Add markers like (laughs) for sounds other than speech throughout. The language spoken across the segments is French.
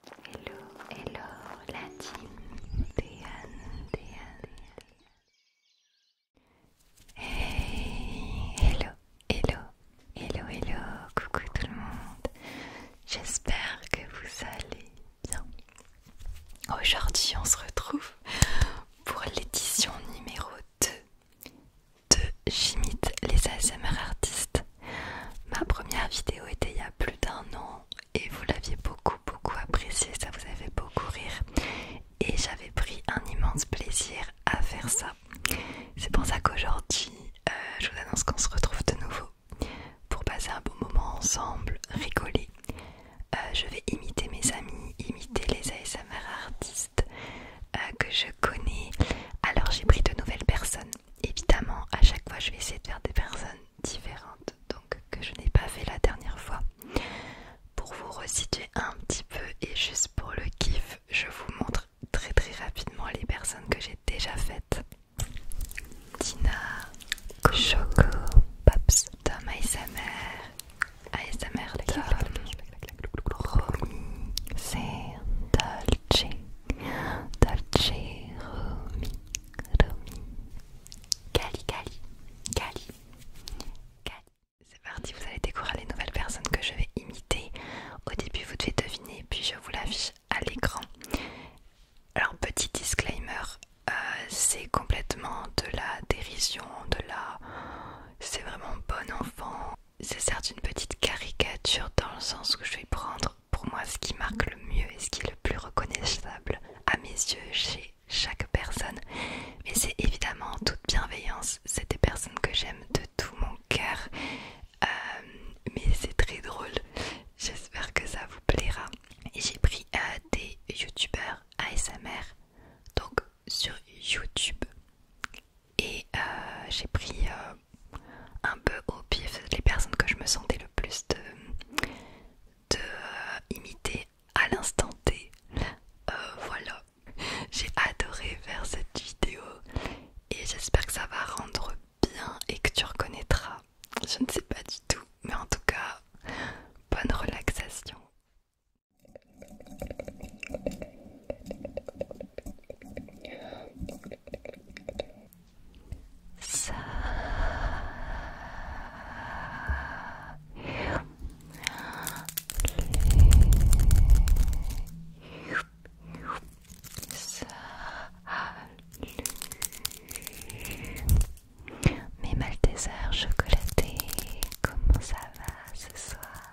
Hello, hello la team Déane, Hey, hello, hello, hello, hello, coucou tout le monde. J'espère que vous allez bien. Aujourd'hui, on se retrouve pour l'édition numéro 2 de J'imite les ASMR artistes. Ma première vidéo était il y a plus d'un an et vous l'aviez beaucoup beaucoup appréciée, ça vous avait beaucoup rire et j'avais pris un immense plaisir à faire ça. C'est pour ça qu'aujourd'hui euh, je vous annonce qu'on se retrouve de nouveau pour passer un bon moment ensemble, rigoler. Euh, je vais imiter mes amis, imiter les ASMR artistes euh, que je connais. Alors j'ai pris de nouvelles personnes évidemment, à chaque fois, je vais essayer de faire des personnes différentes, donc que je n'ai pas fait la dernière fois, pour vous resituer un petit peu et juste pour le kiff, je vous montre très très rapidement les personnes que j'ai déjà faites. Tina, Choco, Pops, Tom Cali C'est parti, vous allez découvrir les nouvelles personnes que je vais imiter. Au début vous devez deviner, puis je vous la l'affiche à l'écran. Alors petit disclaimer, euh, c'est complètement de la dérision, de la... C'est vraiment bon enfant. C'est certes une petite caricature dans le sens où je vais prendre pour moi ce qui marque le mieux et ce qui est le plus reconnaissable à mes yeux chez chaque personne, mais c'est évidemment toute bienveillance, c'est des personnes que j'aime de tout mon cœur, euh, mais c'est très drôle, j'espère que ça vous plaira. Et j'ai pris euh, des youtubeurs ASMR, donc sur YouTube, et euh, j'ai pris un peu au pif les personnes que je me sentais le plus de, euh, imiter à l'instant T. Euh, voilà, j'ai adoré faire cette vidéo et j'espère que ça va rendre bien et que tu reconnaîtras. Je ne sais pas du tout, mais en tout cas, bonne relaxation. Ça Salut Mes Maltesers chocolatés, comment ça va ce soir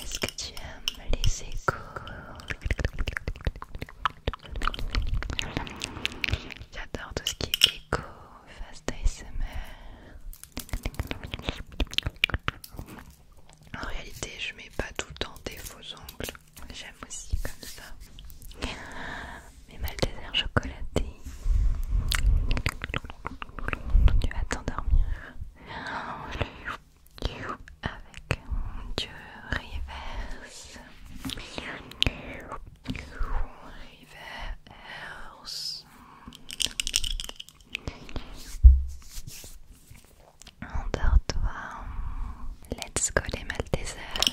Est-ce que tu aimes les échos J'adore tout ce qui est écho, fast ASMR. En réalité, je mets pas tout le temps des faux ongles. J'aime aussi comme ça mes Maltesers chocolatés. Tu vas t'endormir avec dieu reverse. Reverse. Endors-toi. Let's go les Maldésers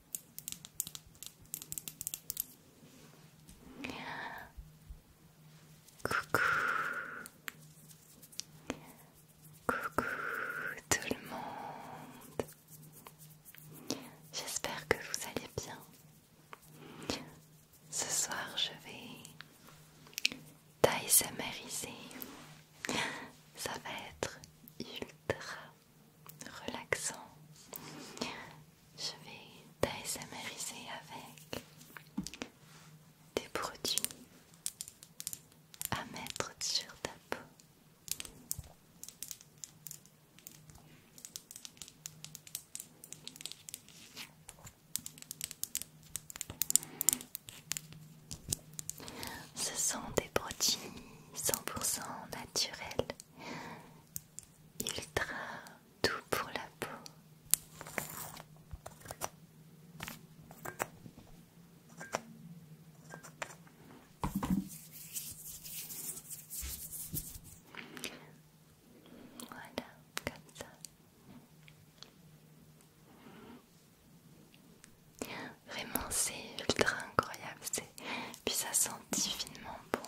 Coucou Coucou tout le monde J'espère que vous allez bien. Ce soir je vais taille samariser, Ça va être ultra relaxant. Je vais amériser avec des produits à mettre sur ta peau. Ce sont des produits 100% naturels, ultra doux pour la peau. Voilà, comme ça. Vraiment, c'est ultra incroyable. Puis ça sent divinement bon.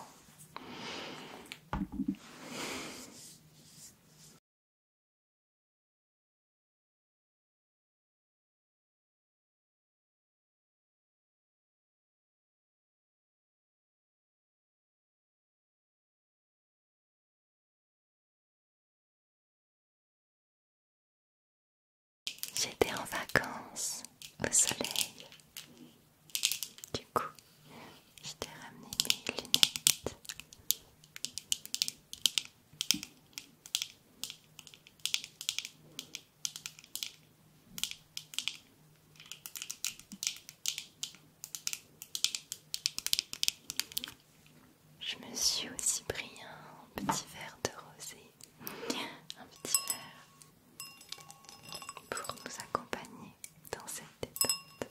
J'étais en vacances au soleil. Du coup, j'étais t'ai ramené mes lunettes. Je me suis aussi pris un petit verre de rosé un petit verre pour nous accompagner dans cette détente.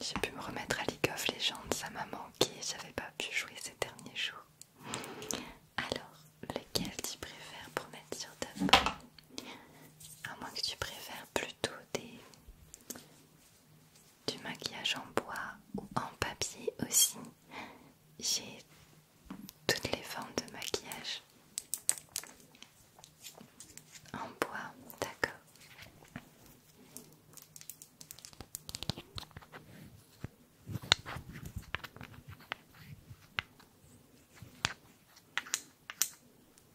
J'ai pu me remettre à League of Legends, ça m'a manqué, j'avais pas pu jouer ces derniers jours. Alors, lequel tu préfères pour mettre sur ta main à moins que tu préfères plutôt des du maquillage en bois ou en papier aussi. J'ai toutes les formes de maquillage en bois, d'accord.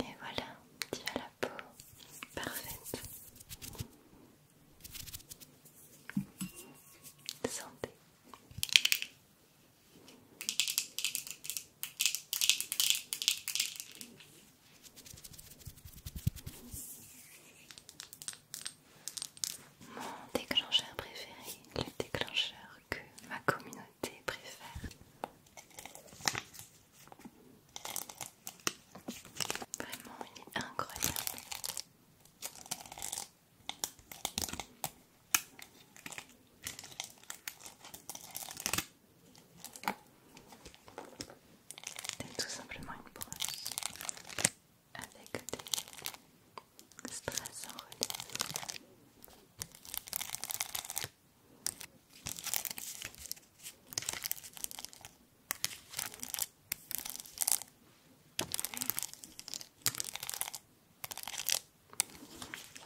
Et voilà, tu as la peau parfaite. Santé. Mon déclencheur préféré, le déclencheur que ma communauté préfère. Vraiment, incroyable. C'est tout simplement une brosse avec des strass en relief.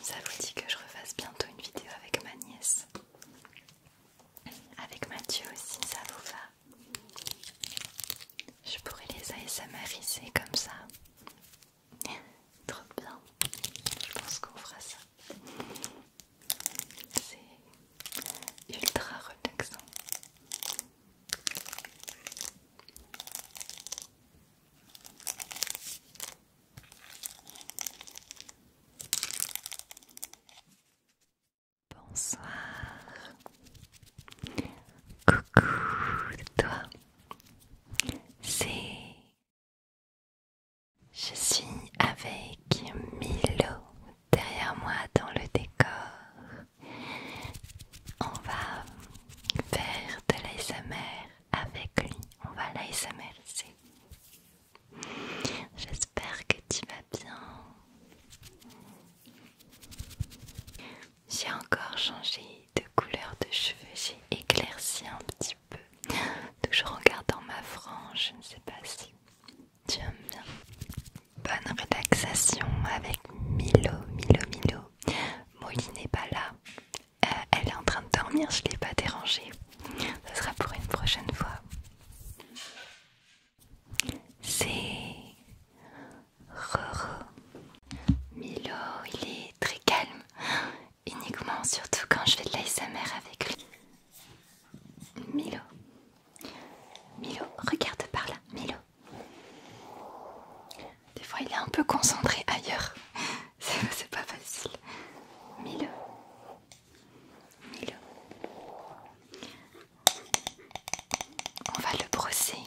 Ça vous dit que je refasse bientôt une vidéo avec ma nièce Avec Mathieu aussi, ça vous va Je pourrais les ASMRiser comme ça Trop bien Je pense qu'on fera ça c'est ultra relaxant. Bonsoir. Coucou toi. C'est je suis avec Milo derrière moi dans le décor. On va faire de l'ASMR avec lui. On va c'est. J'espère que tu vas bien. J'ai encore changé de couleur de cheveux. J'ai éclairci un petit peu. Toujours en gardant ma frange. Je ne sais pas si Bonne relaxation avec Milo, Milo, Milo. Molly n'est pas là. Euh, elle est en train de dormir, je ne l'ai pas dérangée. Ce sera pour une prochaine fois. C'est Roro. Milo, il est très calme. Uniquement, surtout quand je fais de l'ASMR avec lui. Milo, Milo, regarde par là, Milo. Des fois, il est un peu concentré ailleurs. (laughs) C'est pas facile. Milo. Milo. On va le brosser.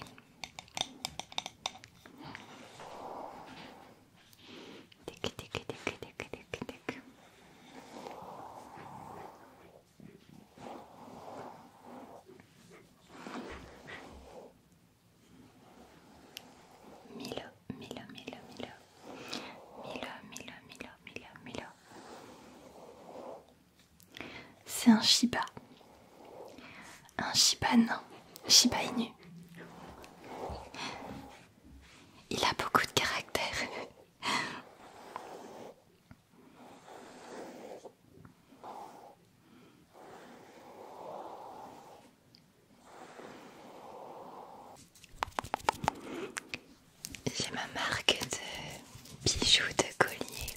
Tic, tic, tic, tic, tic, tic, tic. Milo, Milo, Milo, Milo, Milo, Milo, Milo, Milo, Milo. C'est un Shiba, un Shiba non, Shiba Inu. Il a beaucoup de caractère. J'ai ma marque de bijoux de collier.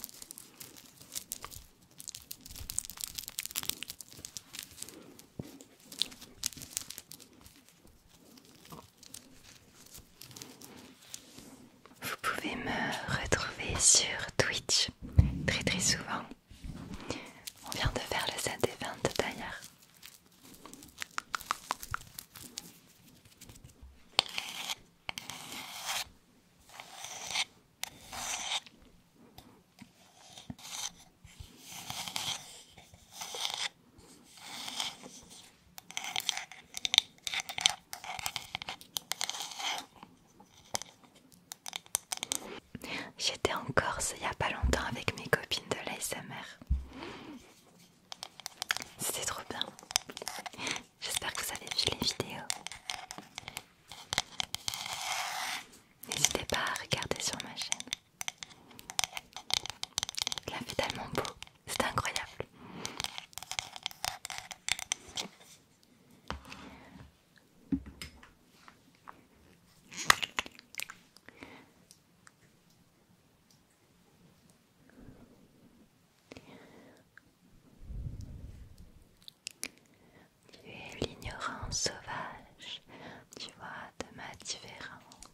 Vous pouvez me retrouver sur Twitch très très souvent. On vient de faire le set des 20 d'ailleurs. J'étais en Corse il n'y a pas longtemps avec mes copines de l'ASMR. C'était trop bien. J'espère que vous avez vu les vidéos. N'hésitez pas à regarder sur ma chaîne. La tellement beau, c'est incroyable. Tu es l'ignorance sauvage, tu vois, de ma différence.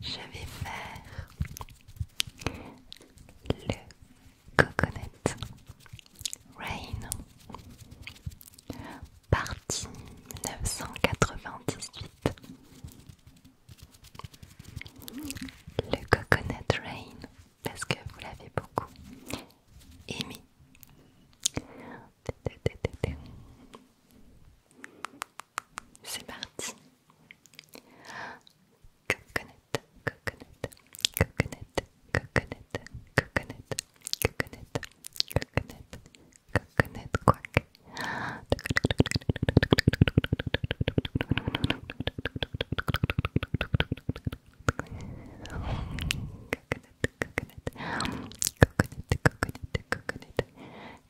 je vais faire le coconut rain partie 1998 le coconut rain parce que vous l'avez beaucoup aimé c'est parti. Coconnette, coconnette, coconnette, coconnette, coconnette, coconnette, coconnette, coconnette, coconnette, coac. Coconnette, coconnette, coconnette, coconnette,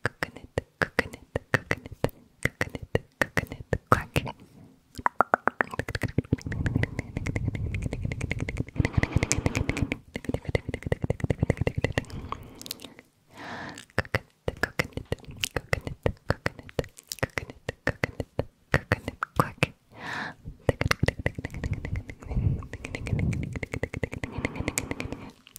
coconnette. coconut, coconut, coconut, coconut, crack. Coconut, coconut, coconut, coconut, coconut, coconut, coconut, quack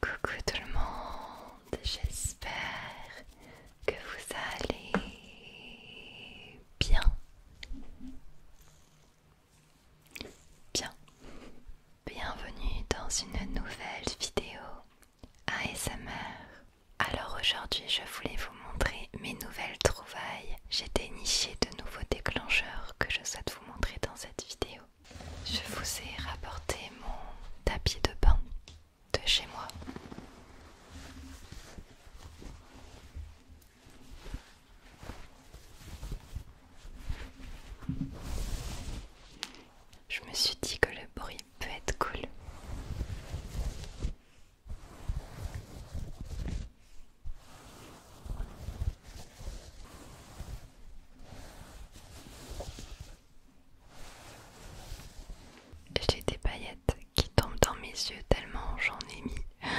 Coucou tout le monde, j'espère que vous allez bien. Bien. Bienvenue dans une nouvelle vidéo ASMR. Alors aujourd'hui, je voulais vous montrer mes nouvelles trouvailles j'ai déniché de nouveaux déclencheurs que je souhaite vous montrer dans cette vidéo. Je vous ai rapporté mon tapis de bain de chez moi. Je me suis dit que le bruit peut être cool. J'ai des paillettes qui tombent dans mes yeux tellement j'en ai mis. (laughs)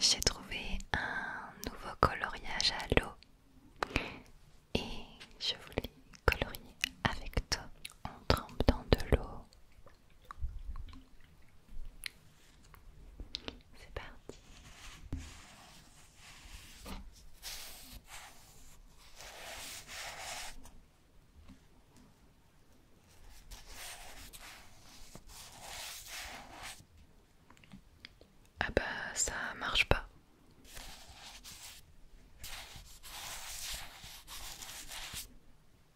J'ai trouvé un nouveau coloriage à l'eau et je voulais colorier avec toi. en trempe dans de l'eau. C'est parti. Ah bah ça marche pas.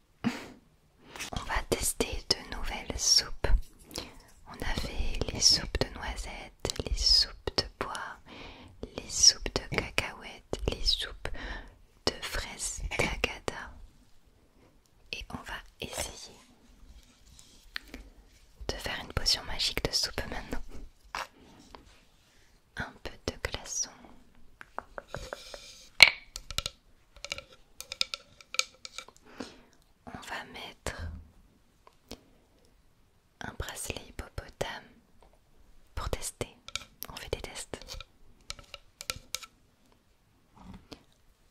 (laughs) On va tester de nouvelles soupes. On a fait les soupes de noisettes, les soupes de bois, les soupes de cacahuètes, les soupes de fraises cagada. Et on va essayer de faire une potion magique de soupe maintenant. Un peu de glaçon. On va mettre un bracelet hippopotame pour tester. On fait des tests.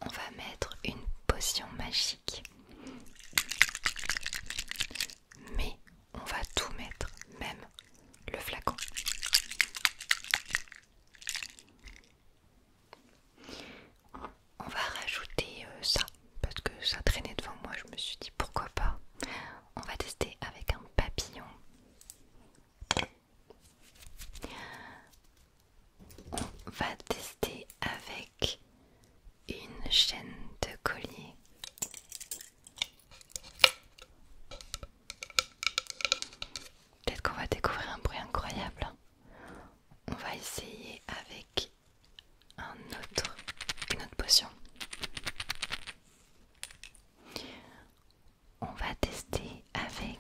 On va mettre une potion magique. Mais on va tout mettre, même le flacon. On va rajouter euh, ça parce que ça traînait devant moi. Je me suis dit pourquoi pas. On va tester avec un papillon. On va tester avec une chaîne de collier. Peut-être qu'on va découvrir un bruit incroyable. On va essayer avec un autre, une autre potion. On va tester avec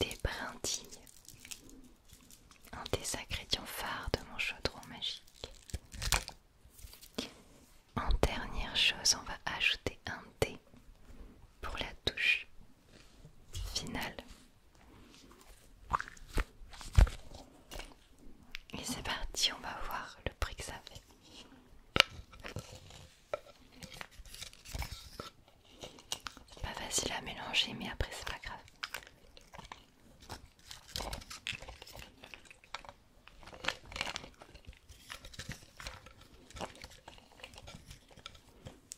des brindilles, un des ingrédients phares de mon chaudron magique. En dernière chose, on va ajouter un pour la touche finale. Et c'est parti, on va voir le prix que ça fait. C'est pas facile à mélanger, mais après c'est pas grave.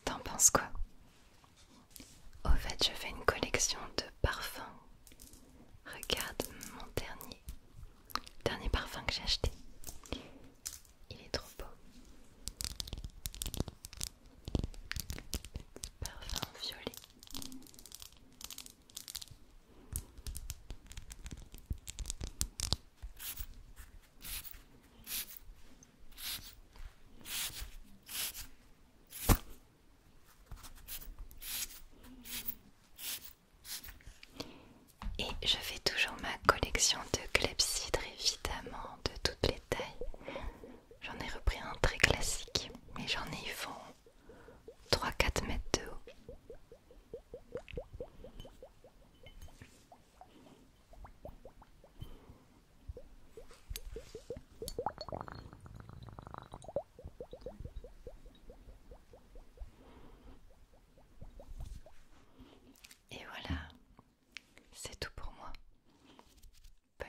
T'en penses quoi Au fait, je fais une collection de parfums. Regarde mon dernier. Dernier parfum que j'ai acheté. Il est trop beau. parfum violet. Et je fais toujours ma collection de clepsydres évidemment de toutes les tailles. J'en ai repris un très classique, mais j'en ai ils font 3-4 mètres de haut. Et voilà, c'est tout pour moi. Bonne